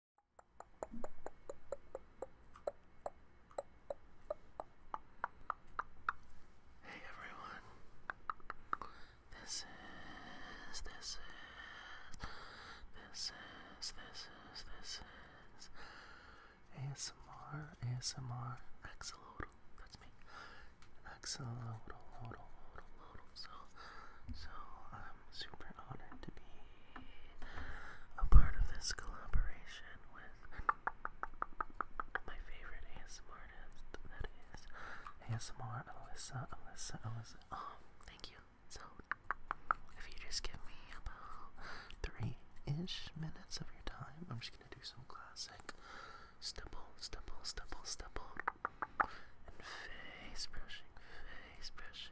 Hey everyone, this is, this is, this is, this is, this is ASMR, ASMR, Axolotl, that's me, Axolotl, uh, am super honored to be a part of this collaboration with my favorite ASMR artist. That is ASMR Alyssa, Alyssa, Alyssa. Oh, thank you. So, if you just give me about three ish minutes of your time, I'm just gonna do some classic stipple, stipple, stipple, stipple, and face brushing, face brushing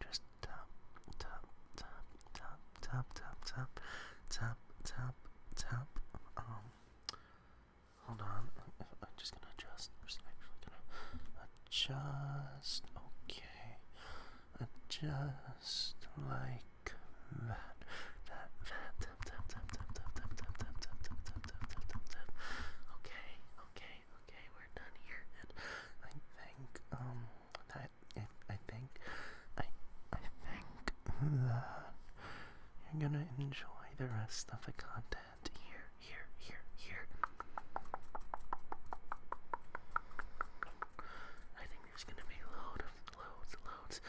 just tap, tap, tap, tap, tap, tap, tap, tap, tap, tap. Um, hold on. I'm just gonna adjust. I'm just actually gonna adjust. Okay, adjust like that. That, that, tap, tap, tap, tap, tap, tap, tap, tap, tap, tap, tap, tap, tap, tap, tap. Okay, okay, okay. We're done here, and I think um that I think, I, I think that you're gonna enjoy the rest of the content here, here, here, here. I think there's gonna be load loads, loads,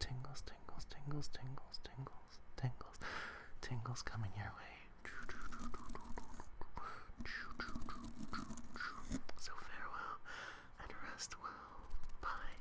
tingles, tingles, tingles, tingles, tingles, tingles, tingles coming your way. So farewell and rest well. Bye.